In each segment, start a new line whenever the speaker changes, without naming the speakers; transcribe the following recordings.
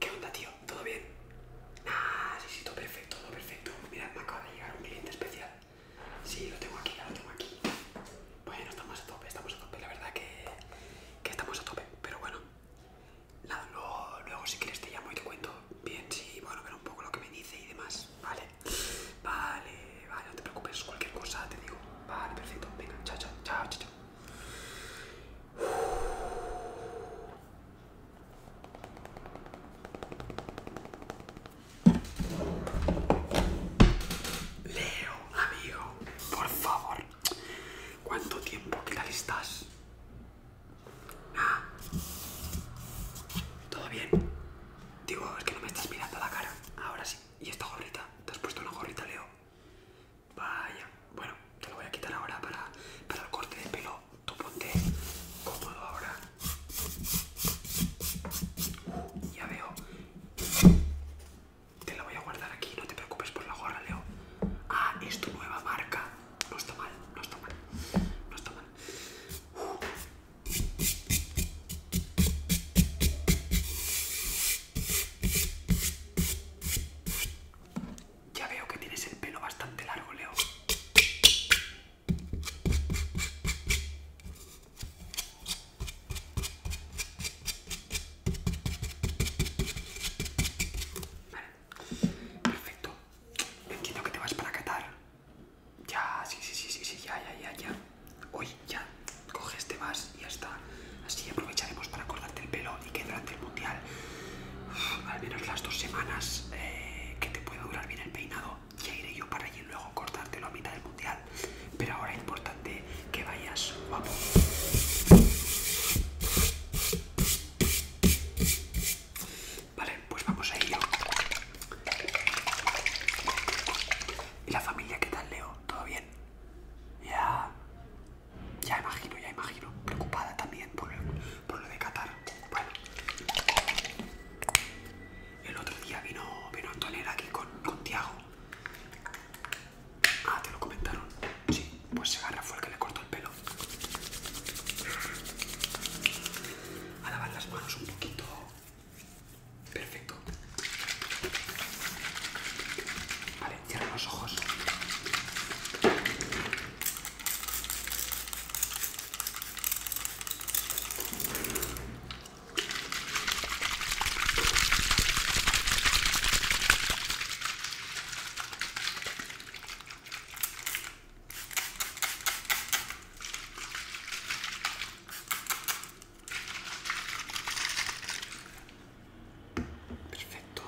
¿Qué onda, tío? ¿Todo bien? Ah, sí, sí, todo perfecto, todo perfecto. Mira, me acaba de llegar un cliente especial. Sí, lo tengo aquí, lo tengo aquí. Bueno, estamos a tope, estamos a tope. La verdad que, que estamos a tope, pero bueno. luego, si quieres te llamo y te cuento bien, sí, bueno, ver un poco lo que me dice y demás. Vale, vale, vale, no te preocupes, cualquier cosa te digo. Vale, perfecto, venga, chao, chao, chao, chao. Leo, amigo, por favor. ¿Cuánto tiempo que tal estás? Ah. ¿Todo bien? Digo, es que no me estás mirando la cara. Ahora sí. ¿Y esta gorrita? ¿Te has puesto una gorrita, Leo? Vaya, bueno, te lo voy a quitar ahora para, el corte de pelo. Tú ponte cómodo ahora. ya veo. Te lo voy a guardar aquí, no te preocupes por la gorra, Leo. Ah, es tu nueva marca. No está mal, no está mal. No está mal. Ya veo que tienes el pelo bastante largo, Leo. Vale. Perfecto. Entiendo que te vas para catar Ya, sí, sí, sí, sí, sí, ya, ya, ya, ya hoy ya coges, este más y ya está. Así aprovecharemos para cortarte el pelo y que durante el mundial, al menos las dos semanas eh, que te puede durar bien el peinado, ya iré yo para allí luego cortártelo a mitad del mundial. Pero ahora es importante que vayas Vamos. Vale, pues vamos a ello. ¿Y la familia qué tal, Leo? ¿Todo bien? Ya. Ya imagino, ya imagino. Preocupada también por, lo de Qatar. Bueno. El otro día vino, vino Antonella aquí con, con Tiago. Ah, te lo comentaron. Sí, pues se agarra fue el que le cortó el pelo. A lavar las manos un poquito Perfecto. Vale, cierra los ojos. Perfecto.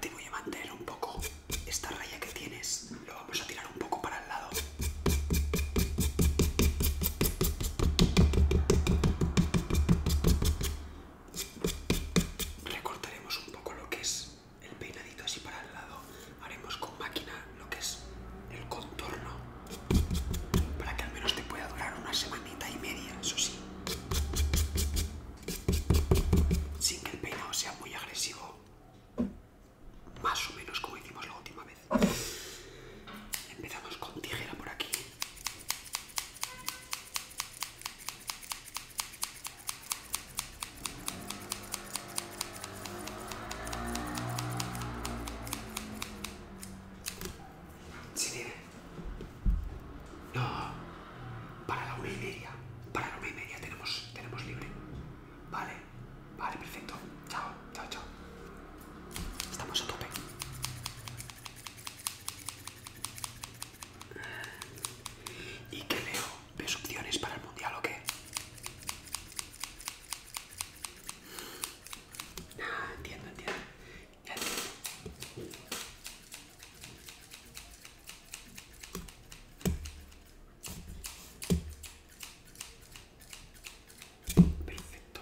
Te voy a mantener un poco esta raya que tienes, lo vamos a tirar un poco para el lado recortaremos un poco lo que es el peinadito así para el lado haremos con máquina lo que es el contorno para que al menos te pueda durar una semanita y media eso sí sin que el peinado sea muy agresivo más o menos como hicimos la última vez empezamos con tijera por aquí si tiene. No. Para la una y media. Para la una y media tenemos, tenemos libre. Vale, vale, perfecto. Chao, chao, chao. Estamos a tope. ¿Y qué leo? ¿Ves opciones para el mundial o qué? Ah, entiendo, entiendo. Ya entiendo. Perfecto.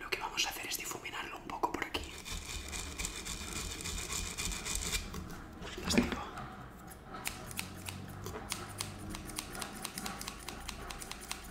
Lo que vamos a hacer es difuminarlo un poco por aquí.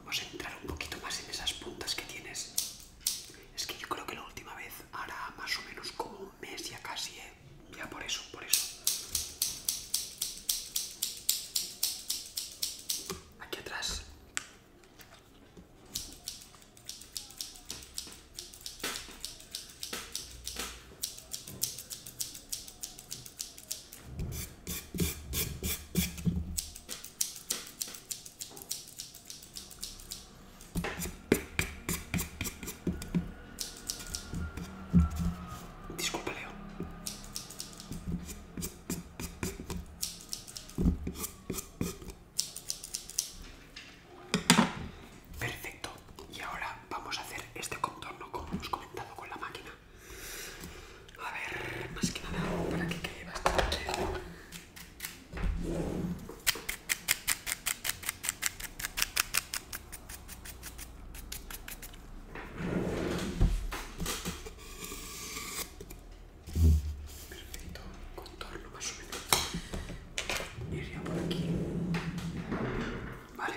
Vamos a entrar un poquito más en esas puntas que tienes. Es que yo creo que la última vez hará más o menos como un mes ya casi, ¿eh? Ya por eso, por eso. Aquí atrás. Disculpa, Leo. Perfecto. Y ahora vamos a hacer este contorno como hemos comentado con la máquina. A ver, más que nada para que quede bastante. Perfecto, contorno más o menos. Iría por aquí. Vale.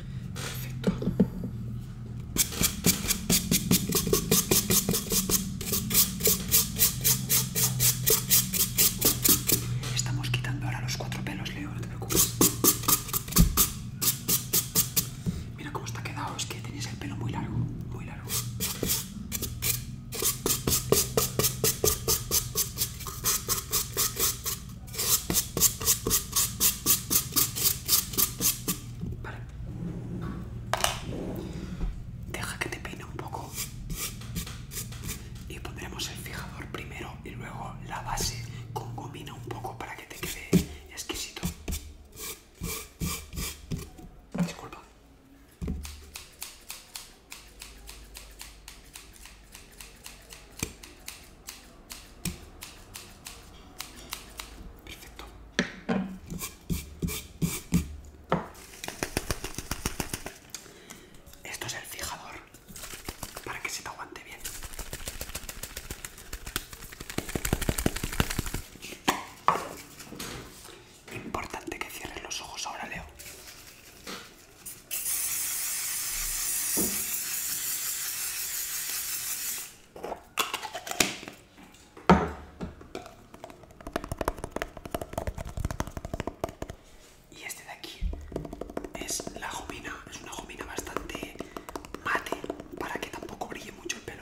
Perfecto. Estamos quitando ahora los cuatro pelos, Leo, no te preocupes. Mira cómo está quedado, es que tienes el pelo muy largo, muy largo. Vale. Deja que te peine un poco y pondremos el fijador primero y luego la base con gomina un poco para que te quede exquisito. Disculpa. Perfecto. Esto es el fijador para que se te aguante bien. Importante que cierres los ojos ahora, Leo. Y este de aquí es la jomina, es una gomina bastante mate para que tampoco brille mucho el pelo.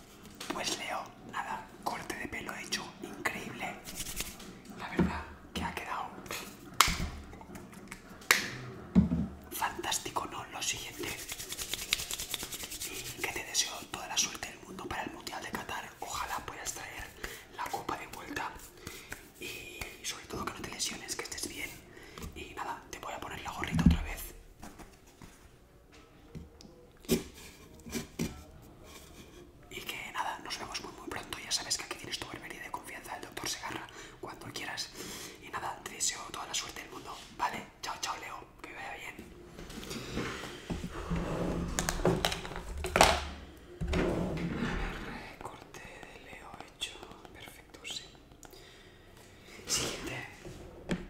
Pues Leo, nada, corte de pelo hecho increíble. La verdad que ha quedado fantástico, ¿no? Lo siguiente. Y que te deseo toda la suerte del mundo para el Mundial de Qatar. Ojalá puedas traer la copa de vuelta. Y sobre todo que no te lesiones, que estés bien. Y nada, te voy a poner la gorrita otra vez. Y que nada, nos vemos muy muy pronto. Ya sabes que aquí tienes tu barbería de confianza, el doctor Segarra, cuando quieras. Y nada, te deseo toda la suerte del mundo. Vale, chao, chao, Leo, que vaya bien. corte de Leo hecho. Perfecto, sí. Siguiente.